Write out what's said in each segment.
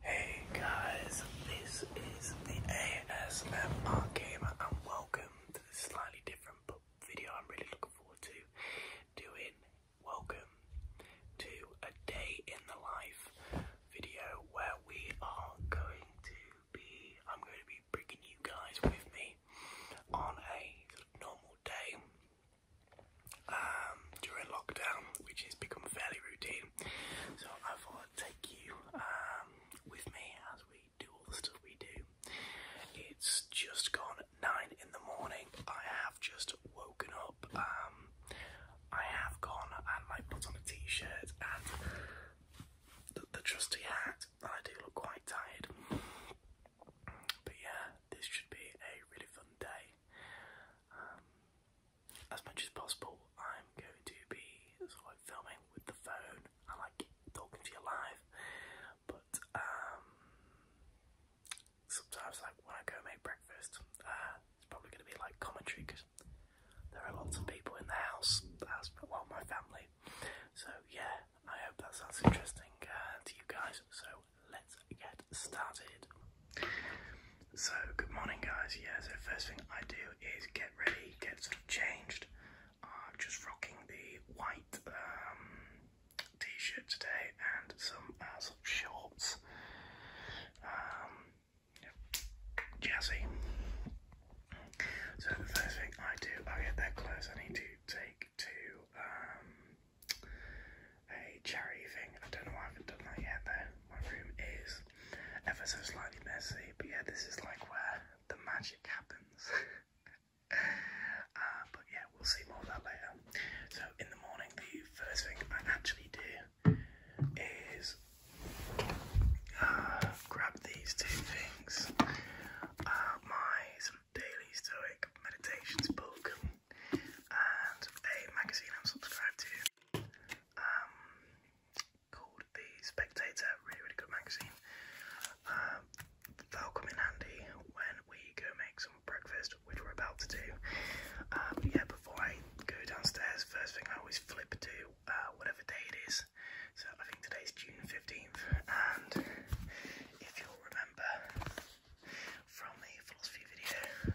Hey guys, this is the ASMR Gamer and welcome to a slightly different video I'm really looking forward to doing. Welcome to a day in the life video where we are going to be, I'm going to be bringing you guys with me on a normal day um, during lockdown, which has become fairly routine. So I thought I'd take you um, with me as we do all the stuff we do. It's just gone nine in the morning. I have just woken up. Um, I have gone and I put on a t-shirt and the, trusty hat. And I do look quite tired. But yeah, this should be a really fun day. Um, as much as possible, I'm going to be sort of filming with the phone. I like talking to you live, but um, sometimes, like when I go make breakfast, uh, it's probably going to be like commentary because there are lots of people in the house. That's well, my family. So yeah, I hope that sounds interesting uh, to you guys. So let's get started. So, good morning, guys. Yeah, so first thing I do is get ready, get sort of changed. I'm just rocking the white um, t shirt today and some uh, shorts. jazzy. Um, so, the first thing I do, I get that close, I need to take to um, a charity thing. I don't know why I haven't done that yet though. My room is ever so slightly messy, but yeah, this is like where the magic happens. Uh, but yeah, we'll see more of that later. So in the morning, the first thing I actually do is uh, grab these two things. Uh, my sort of daily stoic meditations book and a magazine I'm subscribed to um, called The Spectator, really, really good magazine. Um, will come in handy when we go make some breakfast, which we're about to do. but um, yeah, before I go downstairs, first thing I always flip to uh, whatever day it is. So I think today's June 15th, and if you'll remember, from a philosophy video.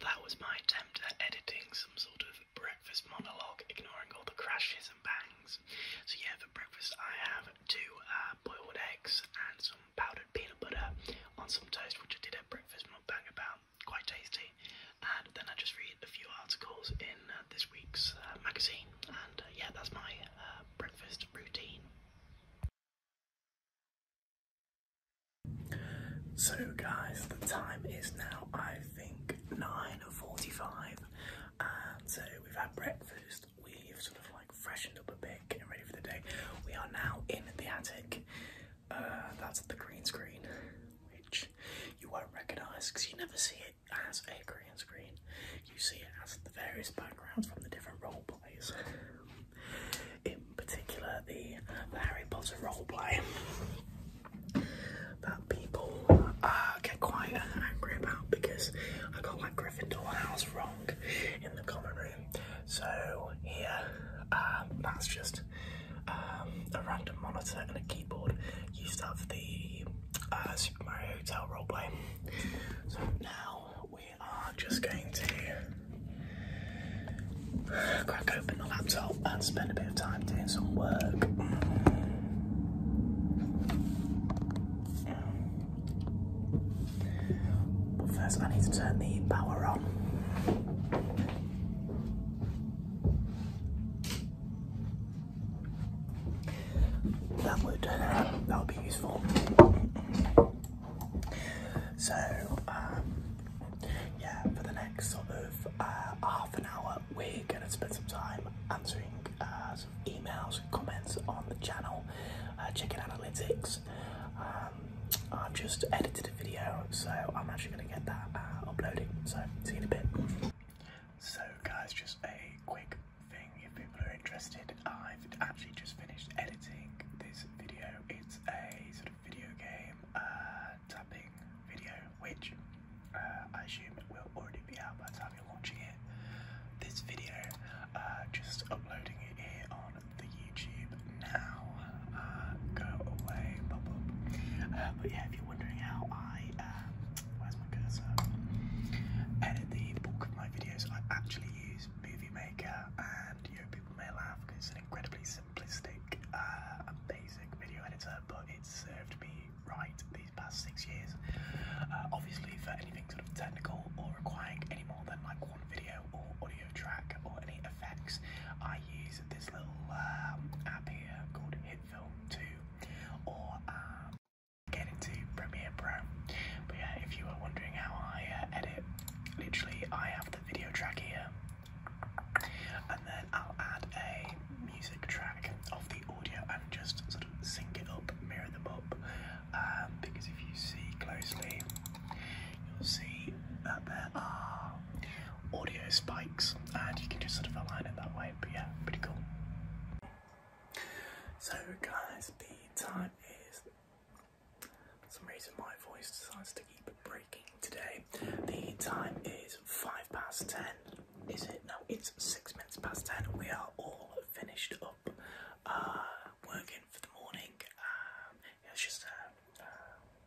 That was my attempt at editing some sort of breakfast monologue, ignoring all the crashes and bangs. So yeah, for breakfast I have two uh, boiled eggs and some powdered peanut butter on some toast, which I did at breakfast mukbang about, quite tasty. And then I just read a few articles in uh, this week's uh, magazine, and yeah, that's my breakfast routine. So guys, the time is now I think 9.45 and so we've had breakfast, we've sort of like freshened up a bit, getting ready for the day. We are now in the attic, uh, that's the green screen, which you won't recognise because you never see it as a green screen. You see it as the various backgrounds from the different role plays in particular the, Harry Potter roleplay that people uh, get quite uh, angry about because I got like Gryffindor house wrong in the common room. So here, um, that's just um, a random monitor and a keyboard used up the uh, Super Mario Hotel role play. So now we are just going to crack open the laptop and spend a bit of time doing some work. But first, I need to turn the power on. That would that would be useful. So um, yeah, for the next sort of uh, half an hour, we're going to spend some time answering uh, some emails comments on the channel, uh, checking analytics. Um, I've just edited a video, so I'm actually going to get that uh, uploading. So, see you in a bit. So, guys, just a quick thing if people are interested. I've actually just finished editing this video. It's a sort of video game uh, video, which uh, I assume will already be out by the time you're watching it. This video, uh, just uploading it here on the YouTube now. Uh, go away, blah but yeah, if you're wondering how I, um, where's my cursor? Edit the bulk of my videos. I actually use Movie Maker, and you know people may laugh because it's an incredibly simple uh, basic video editor, but it's served me right these past six years. Uh, obviously, for anything sort of technical or requiring any more than like one video or audio track or any effects, I use this little um, app here called HitFilm 2 or um, get into Premiere Pro. But yeah, if you were wondering how I uh, edit, literally I have the video track here and then I'll add a music track of the audio and just sort of sync it up, mirror them up. Um, because if you see closely, you'll see that there are audio spikes, and you can just sort of align it that way. But yeah, pretty cool. So, guys, the time is. some reason my voice decides to keep breaking today. The time is five past ten. Is it? No, it's six minutes past ten. We are all finished up uh, working for the morning. Um, it was just a,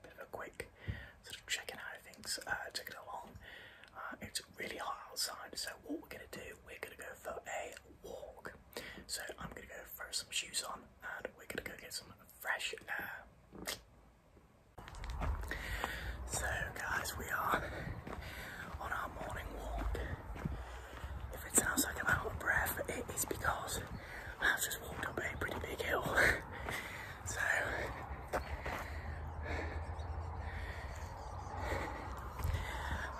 bit of a quick sort of checking out of things, uh, checking along. Uh, it's really hot outside, so what we're gonna do, we're gonna go for a walk. So I'm gonna go throw some shoes on and we're gonna go get some fresh air. So guys, we are on our morning walk. If it sounds like I'm out of breath, it is because I've just walked up a pretty big hill. so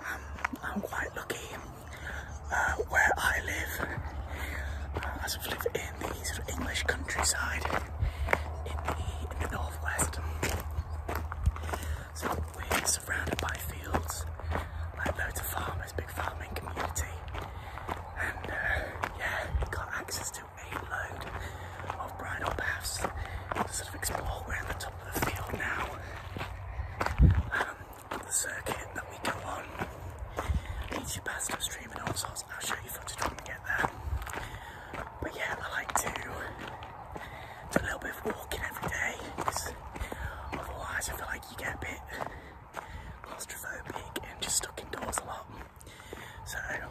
um, I'm quite lucky uh, where I live. Uh, I live in the English countryside in the, northwest. So we're surrounded by fields, like loads of farmers, big farming community. And uh, yeah, got access to a load of bridle paths to sort of explore. We're at the top of the field now. Um, the circuit that we go on leads you past a stream and all sorts. I'll show you but yeah, I like to do a little bit of walking every day otherwise I feel like you get a bit claustrophobic and just stuck indoors a lot. So um,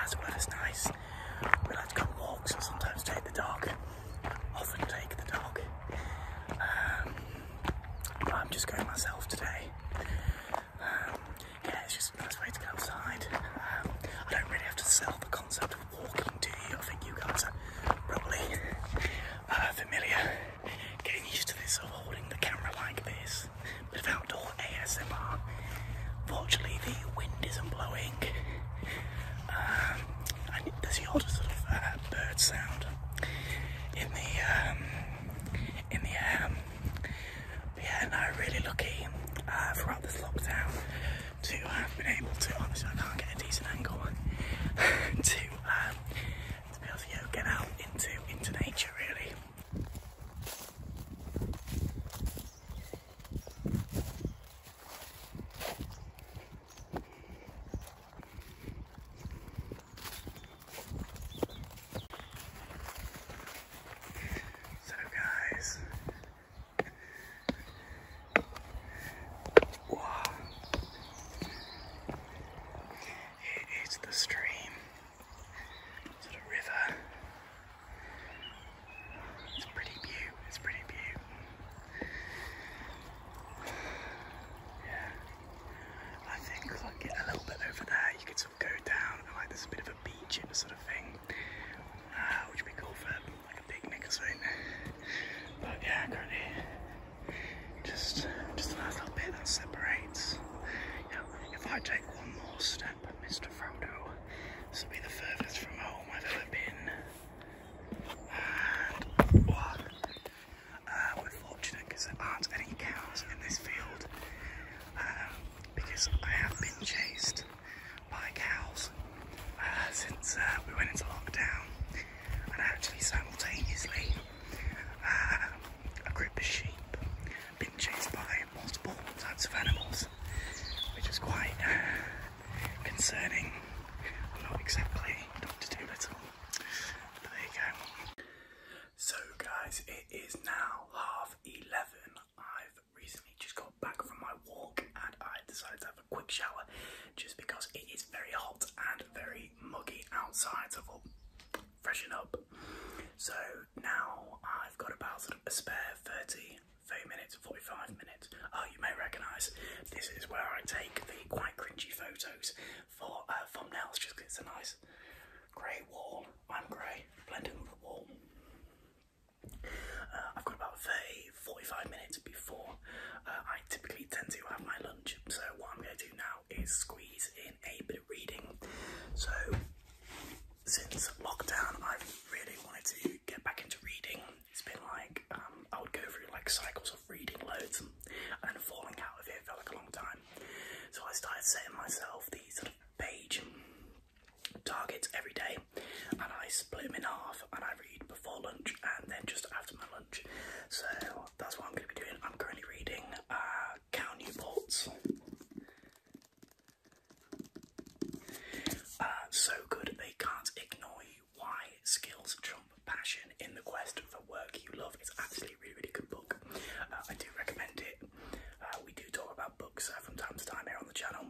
as weather's nice, we like to go on walks or sometimes take the dog. Often take the dog. Um, but I'm just going myself today yeah, it's just a nice way to get outside. Um, I don't really have to sell the concept of walking to you. I think you guys are probably uh, familiar, getting used to this of holding the camera like this. Bit of outdoor ASMR. Fortunately, the wind isn't blowing. Um, and there's the odd sort of uh, bird sound in the um, in the yeah, and I'm really lucky uh, throughout this lockdown to have uh, been able to, honestly I can't get a decent angle, to, um, to be able to you get out into, into nature really. So guys, wow, the stream, sort of river. It's pretty beautiful. It's pretty view. Yeah, I think I get a little bit over there. You could sort of go down like there's a bit of a beach sort of thing, uh, which would be cool for like a picnic or something. But yeah, currently just just a little bit that separates. if I take one more step, Mr. Frodo, this will be the furthest from home I've ever been. And we're uh, fortunate because there aren't any cows in this field. Um, because I have been chased by cows uh, since uh, we went into lockdown, and actually simultaneously uh, a group of sheep been chased by multiple types of animals, which is quite concerning. not exactly Doctor Doolittle, but there you go. So, guys, it is now half eleven. I've recently just got back from my walk and I decided to have a quick shower just because it is very hot and very muggy outside. So, I thought, freshen up. So, now I've got about a spare 30, 30 minutes, 45 minutes. Oh, you may recognise this is where I take the quite cringy photos for uh, thumbnails just because it's a nice grey wall. I'm grey, blending with the wall. Uh, I've got about 45 minutes before uh, I typically tend to have my lunch. So what I'm going to do now is squeeze in a bit of reading. So since lockdown, I've really wanted to get back into reading. It's been like um, I would go through like cycles of reading loads and, and falling out of it for like a long time. So I started setting myself these page targets every day and I split them in half and I read before lunch and then just after my lunch. So that's what I'm going to be doing. I'm currently reading uh, Newport's uh, So Good They Can't Ignore You Why Skills Trump Passion in the Quest for Work You Love. It's actually really, really good book. Uh, I do recommend it. Uh, we do talk about books uh, from time to time here on the channel.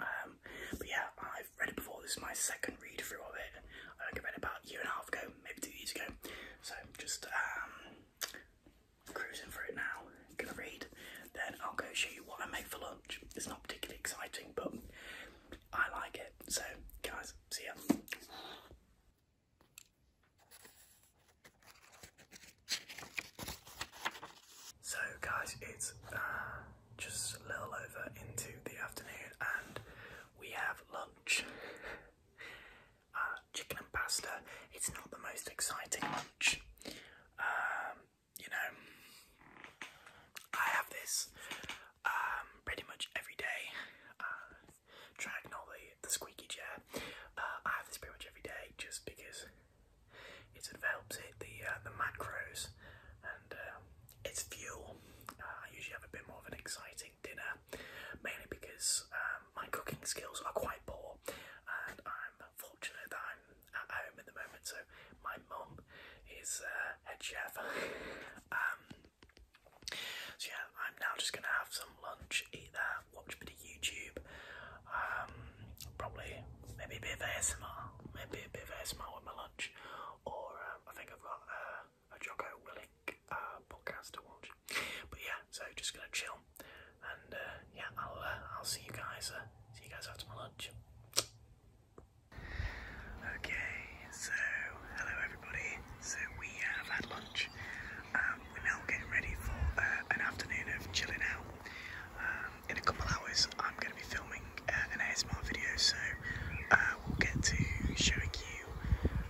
Um, but yeah, I've read it before. This is my second read through of it. I think I read about a year and a half ago, maybe two years ago. So just um, cruising through it now. Gonna read, then I'll go show you what I make for lunch. It's not particularly exciting, but I like it. So guys, see ya. So guys, it's uh, just a little over into the afternoon and we have lunch. Uh, chicken and pasta. It's not the most exciting lunch. Um, you know, I have this um, pretty much every day. Uh, the squeaky chair. Uh, I have this pretty much every day just because it sort of helps hit the uh, the macros and uh, it's fuel. I usually have a bit more of an exciting dinner, mainly because um, my cooking skills are quite poor, and I'm fortunate that I'm at home at the moment. So my mum is uh, head chef. Um, so yeah, I'm now just gonna have some lunch, eat that, watch a bit of YouTube, um, probably maybe a bit of ASMR, maybe a bit of ASMR with my lunch, or um, I think I've got a Jocko Willing uh, podcast to watch. But yeah, so just gonna chill, and uh, yeah, I'll uh, I'll see you guys. see you guys after my lunch. Okay, so hello everybody. So we have had lunch. Um, um, we're now getting ready for uh, an afternoon of chilling out. Um, in a couple hours, I'm going to be filming uh, an ASMR video, so uh, we'll get to showing you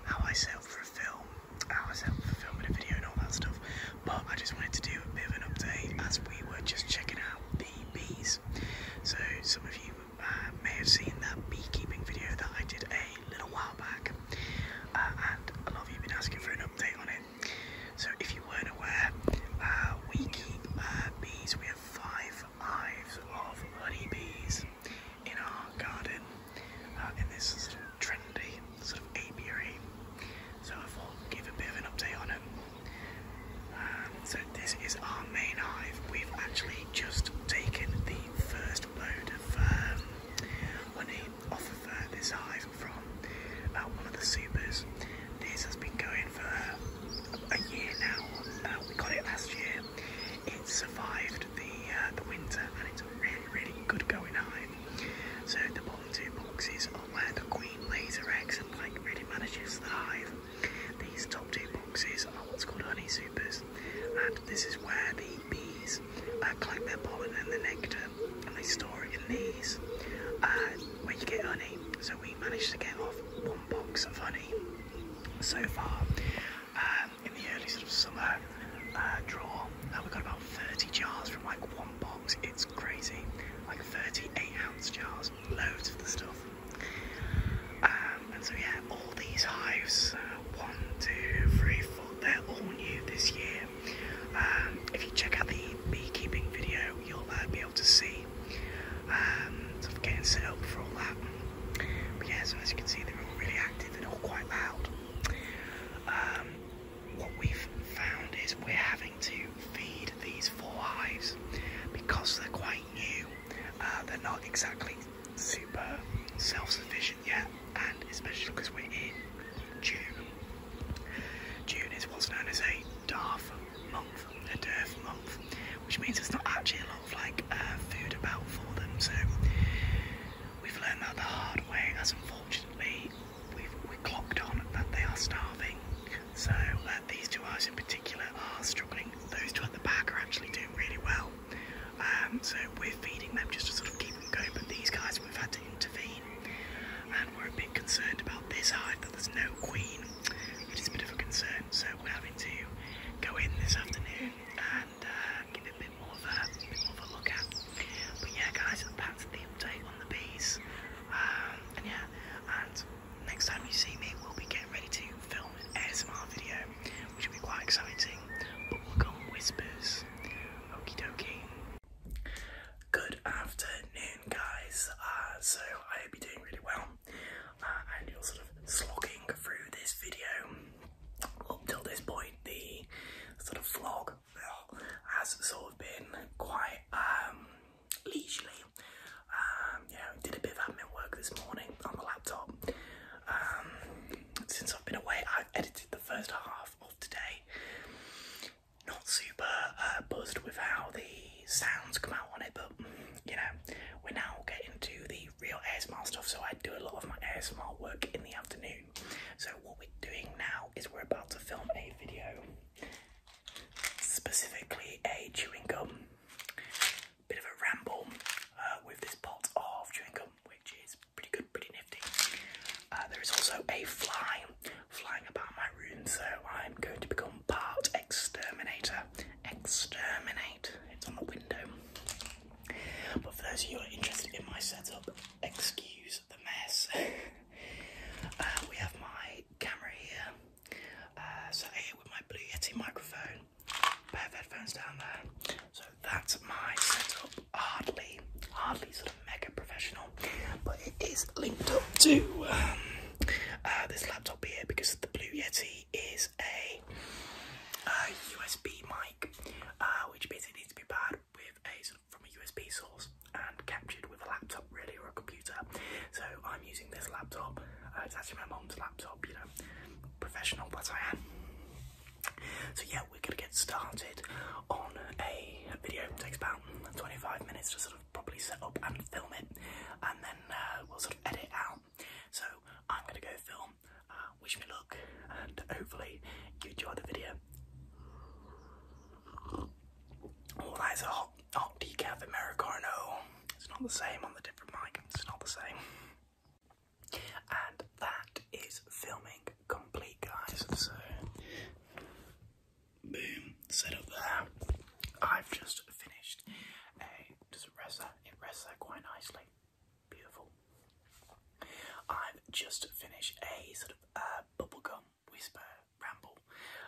how I set up for a film, how I set up for filming a video, and all that stuff. But I just wanted to do a bit of an update as we were just checking out the bees. So some of you uh, may have seen that beekeeping video that I did a little while back, and a lot of you have been asking for an update on it. So if you weren't aware, uh, we keep uh, bees. We have five hives of honey bees in our garden in uh, this sort of trendy sort of apiary. So I thought I'd give a bit of an update on it. Um, so this is our main hive. We've actually just taken the first load of um, honey off of uh, this hive from uh, one of the supers. This has been going for a year now. Uh, we got it last year. It survived the uh, the winter, and it's really really good going hive. So the bottom two boxes are where the queen lays her eggs and like really manages the hive. These top two boxes are what's called honey supers, and this is where the bees uh, collect their pollen and the nectar and they store it in these where you get honey. So we managed to get off one box of honey so far um, in the early sort of summer uh, draw. Now uh, we have got about 30 jars from like one box. It's crazy, like 38 ounce jars, loads of the stuff. Um, and so yeah, all these hives, uh, one, two, three, four, they're all new this year. Um, if you check out the beekeeping video, you'll uh, be able to see um, sort getting set up for all that. But yeah, so as you can see, they're all really active and all quite loud. Um, what we've found is we're having to feed these four hives because they're quite new. Uh, they're not exactly super self-sufficient yet and especially because we're in June. June is what's known as a DARF month, a DERF month, which means there's not actually a lot of like uh, food about for them. So we've learned that the hard way, as unfortunately we've we clocked on that they are starving. So uh, these two eyes in particular are struggling. Those two at the back are actually doing really well. Um, so we're feeding them just to sort of keep them going. But these guys we've had to intervene and we're a bit concerned about this hive that there's no queen. It is a bit of a concern, so we're having to go in this afternoon and uh, give it a bit more of a, look at. But yeah, guys, that's the update on the bees. Um, and yeah, and next time you see me, we'll be getting ready to film an ASMR video, which will be quite exciting. But we'll go on whispers. Okie dokie. Good afternoon, guys. Uh, so I hope you're doing really well, uh, and you're sort of slogging through this video up till this point. The sort of vlog has sort of been quite um, leisurely. Um, did a bit of admin work this morning on the laptop. Um, since I've been away, I've edited the first half of today not super uh, buzzed with how the sounds come out on it, but you know, we're now getting to the real ASMR stuff. So I do a lot of my ASMR work in the afternoon. So what we're doing now is we're about to film a video, specifically a chewing gum, bit of a ramble uh, with this pot of chewing gum, which is pretty good, pretty nifty. Uh, there is also a fly flying about my room, so I'm going to become part exterminator. Exterminate. It's on the window. But for those who are interested in my setup, excuse the mess. Uh, we have my camera here. Uh, so here with my Blue Yeti microphone, pair of headphones down there. So that's my setup. Hardly, hardly sort of mega professional, but it is linked up to um, uh, this laptop here because the Blue Yeti is a USB uh, mic, uh, which basically needs to be paired with a from a USB source and captured with a laptop, really, or a computer. So I'm using this laptop. Uh, it's actually my mom's laptop, you know, professional that I am. So yeah, we're gonna get started on a video. It takes about 25 minutes to sort of properly set up and film it, and then uh, we'll sort of edit out. So I'm gonna go film. Uh, wish me luck, and hopefully you enjoy the video. Oh, that is a hot decaf Americano. It's not the same on the different mic. It's not the same. And that is filming complete, guys. So Boom, set up there. I've just finished a does it rest that it rests there quite nicely. Beautiful. I've just finished a sort of uh, bubblegum whisper ramble,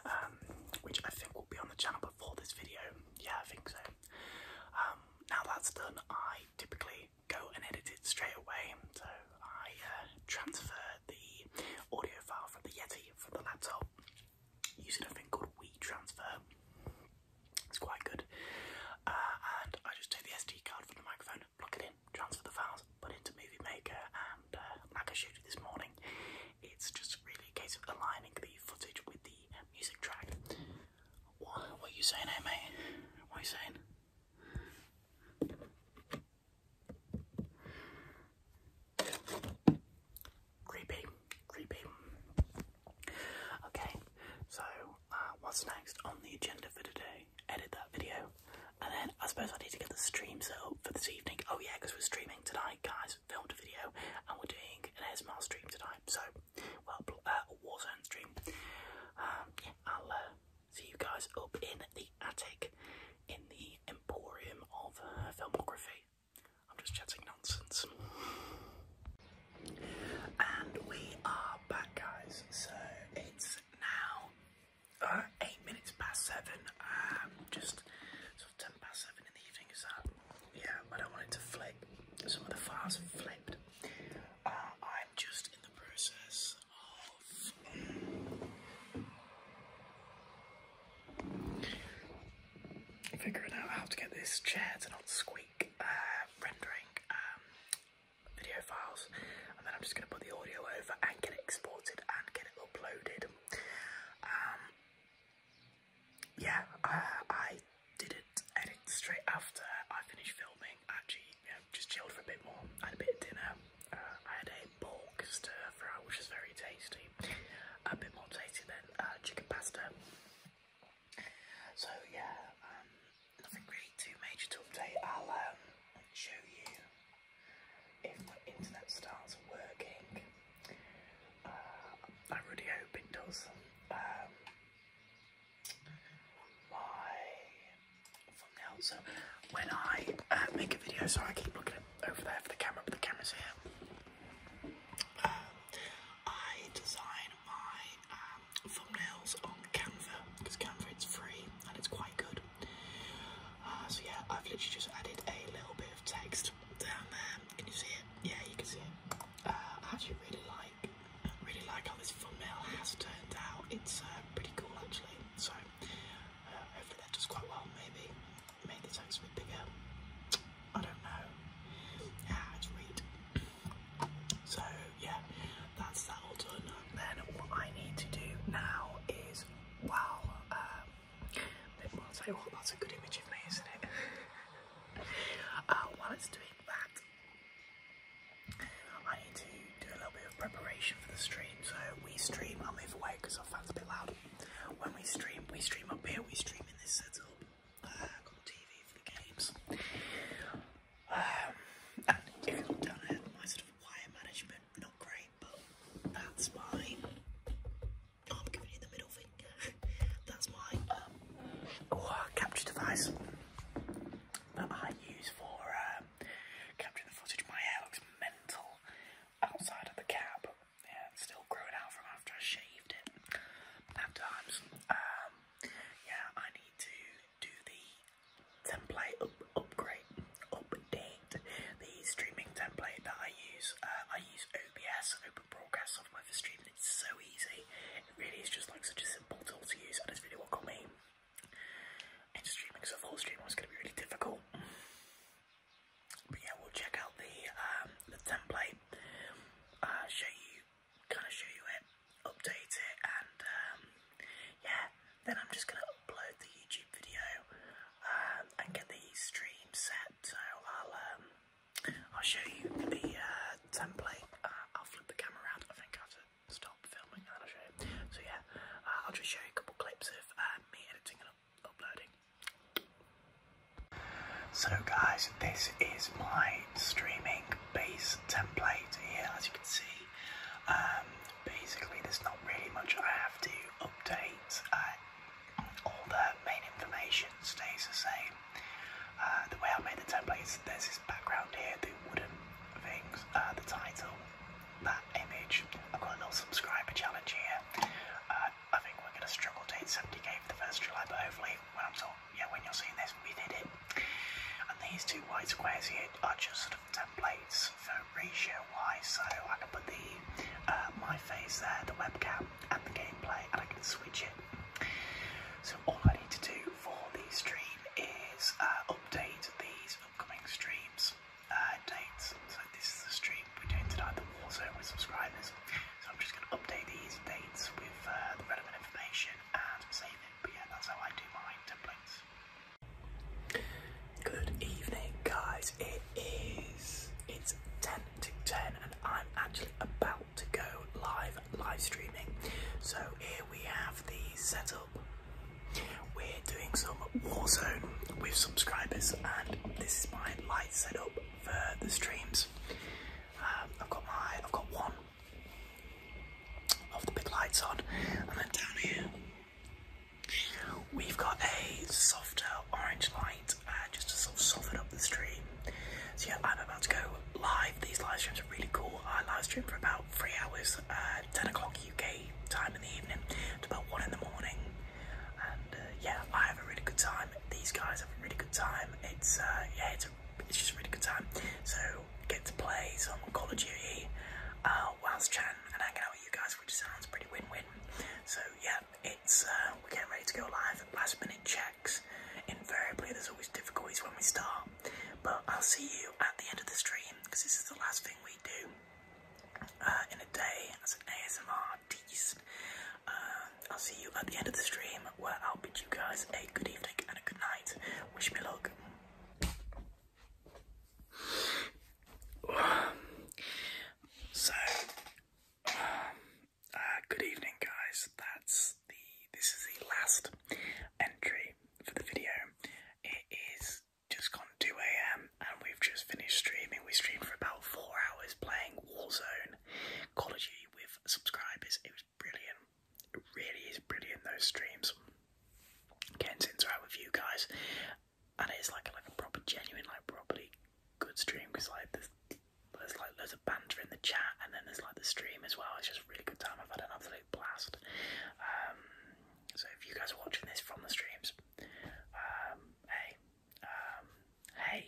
um, which I think will be on the channel before this video. Yeah, I think so. Um, now that's done, I typically go and edit it straight away. So I uh, transfer the audio file from the Yeti from the laptop using a thing called WeTransfer. It's quite good. Uh, and I just took the SD card from the microphone, plug it in, transfer the files, put into Movie Maker, and uh, like I showed you this morning, it's just really a case of aligning the footage with the music track. What, what are you saying, eh, mate? What are you saying? Creepy, creepy. Okay, so uh, what's next on the agenda for today? Edit that video, and then I suppose I need to get the stream set up for this evening. Oh yeah, because we're streaming tonight, guys. Filmed a video, and we're doing an ASMR stream tonight. So, well, a Warzone stream. Um, I'll. Uh, see you guys up in the attic in the emporium of uh, filmography. I'm just chatting nonsense. And we are back, guys. So it's now uh, eight minutes past seven. Um, just sort ten past seven in the evening. Is that? Yeah, but I wanted to flip. Some of the files flipped. Uh, I'm just in the process of Figuring out how to get this chair to not squeak uh, rendering um, video files, and then I'm just going to put the audio over and get it exported and get it uploaded. Um, yeah, uh, I didn't edit straight after I finished filming. Actually, just chilled for a bit more. I had a bit of dinner. Uh, I had a pork stir fry, which is very tasty. A bit more tasty than uh, chicken pasta. So yeah, um, nothing really too major to update. I'll um, show you if my internet starts working. Uh, I really hope it does. Um, thumbnail. So when I uh, make a video, sorry I keep looking over there for the camera, but the camera's here. Um, I design my um, thumbnails on Canva because Canva is free and it's quite good. Uh, so yeah, I've literally just added a little bit of text down there. Can you see it? Yeah, you can see it. Uh, I actually really like, really like how this thumbnail has turned out. It's pretty cool actually. So hopefully that does quite well, maybe. Make the text a bit bigger. I don't know. Yeah, it's read. So yeah, that's that all done. Then what I need to do now is, wow, will um, tell you what, that's a good image of me, isn't it? uh, while it's doing that, I need to do a little bit of preparation for the stream. So we stream, I'll move away because I it a bit loud. When we stream, we stream up here, we stream in this setup. Uh, got the TV for the games. Um, and if you look down here, my sort of wire management, not great, but that's my, I'm giving you the middle finger, that's my um, oh, capture device that I use for um, capturing the footage. My hair looks mental curl outside of the cap and still growing out from after I shaved it. After um, yeah, I need to do the template upgrade, update the streaming template that I use. Uh, I use OBS, Open Broadcast Software for streaming. It's so easy. It really is just like such a simple tool to use, and really what got me and streaming so full stream was going to be really difficult. But yeah, we'll check out the um, the template, uh, show you, kind of show you it, update it, and um, yeah, then I'm just going to upload the YouTube video um, and get the stream set. So I'll I'll show you the uh, template. Uh, I'll flip the camera around. I think I have to stop filming and I'll show you. So yeah, I'll just show you a couple clips of. So guys, this is my streaming base template here, as you can see. Um, basically, there's not really much I have to update. Uh, all the main information stays the same. Uh, the way I made the templates, there's this background here, the wooden things, uh, the title, that image. I've got a little subscriber challenge here. Uh, I think we're going to struggle to hit 70k for the first July, but hopefully, when I'm talking, yeah, when you're seeing this, we did it. And these two white squares here are just sort of templates for ratio wise, so I can put the uh, my face there, the webcam, and the gameplay, and I can switch it. So all I need to do for the stream is uh, update these upcoming streams uh, dates. So this is the stream we're doing tonight, the Warzone with subscribers. So I'm just going to update these dates with uh, the relevant information and save it. But yeah, that's how I do my templates. Good evening, guys. It is it's 10 to 10, and I'm actually about to go live live streaming. So here we have the setup. We're doing some Warzone with subscribers, and this is my light setup for the streams. Um, I've got my, I've got one of the big lights on, and then down here we've got a softer orange light, uh, just to sort of soften up the stream. So yeah, I'm about to go live. These live streams are really cool. I live stream for about three hours, uh, 10 o'clock UK time in the evening. to about one in the morning, and uh, yeah, I have a really good time. These guys have a really good time. It's uh, yeah, it's a, it's just a really good time. So get to play some Call of Duty uh, whilst chatting and hanging out with you guys, which sounds pretty win-win. So yeah, it's uh, we're getting ready to go live. Last minute checks. Invariably, there's always difficulties when we start, but I'll see you at the end of the stream because this is the last thing we do. Uh, in a day as an ASMR artist. Uh, I'll see you at the end of the stream where I'll bid you guys a good evening and a good night. Wish me luck. So, um, uh, good evening, guys. That's the this is the last entry for the video. It is just gone 2 a.m. and we've just finished streaming. We streamed for about four hours playing Warzone Call of Duty with subscribers. It was brilliant. It really is brilliant, those streams. Getting into interact with you guys. And it's like, like a proper, genuine, like, properly good stream because, like, there's, like loads of banter in the chat and then there's like the stream as well. It's just really good time. I've had an absolute blast. Um, so, if you guys are watching this from the streams, um, hey, um, hey.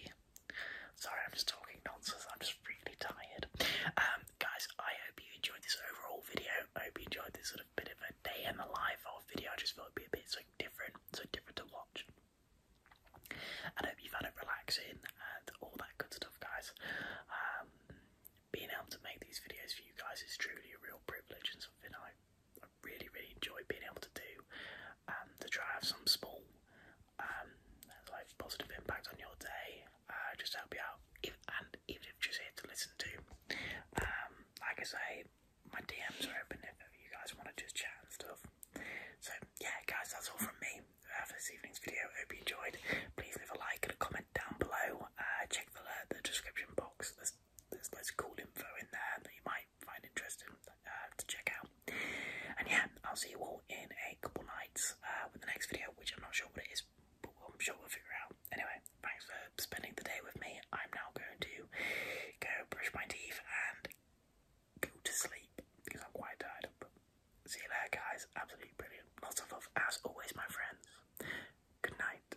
Sorry, I'm just talking nonsense. I'm just really tired. Um, guys, I hope you enjoyed this overall video. I hope you enjoyed this sort of bit of a day in the life of video. I just felt it'd be a bit so different, so different to watch. I hope you found it relaxing and all that good stuff, guys. Um, being able to make these videos for you guys is truly a real privilege and something I really, really enjoy being able to do and um, to try have some small um, like positive impact on your day, uh, just help you out, if, and even if just here to listen to. Um, like I say, my DMs are open if you guys want to just chat and stuff. So yeah, guys, that's all from me uh, for this evening's video. Hope you enjoyed. Please leave a like and a comment down below. Uh, check the, the description box there's lots of cool info in there that you might find interesting uh, to check out. And yeah, I'll see you all in a couple nights uh, with the next video, which I'm not sure what it is, but I'm sure we'll figure out. Anyway, thanks for spending the day with me. I'm now going to go brush my teeth and go to sleep because I'm quite tired. But see you later, guys. Absolutely brilliant. Lots of love, as always, my friends. Good night.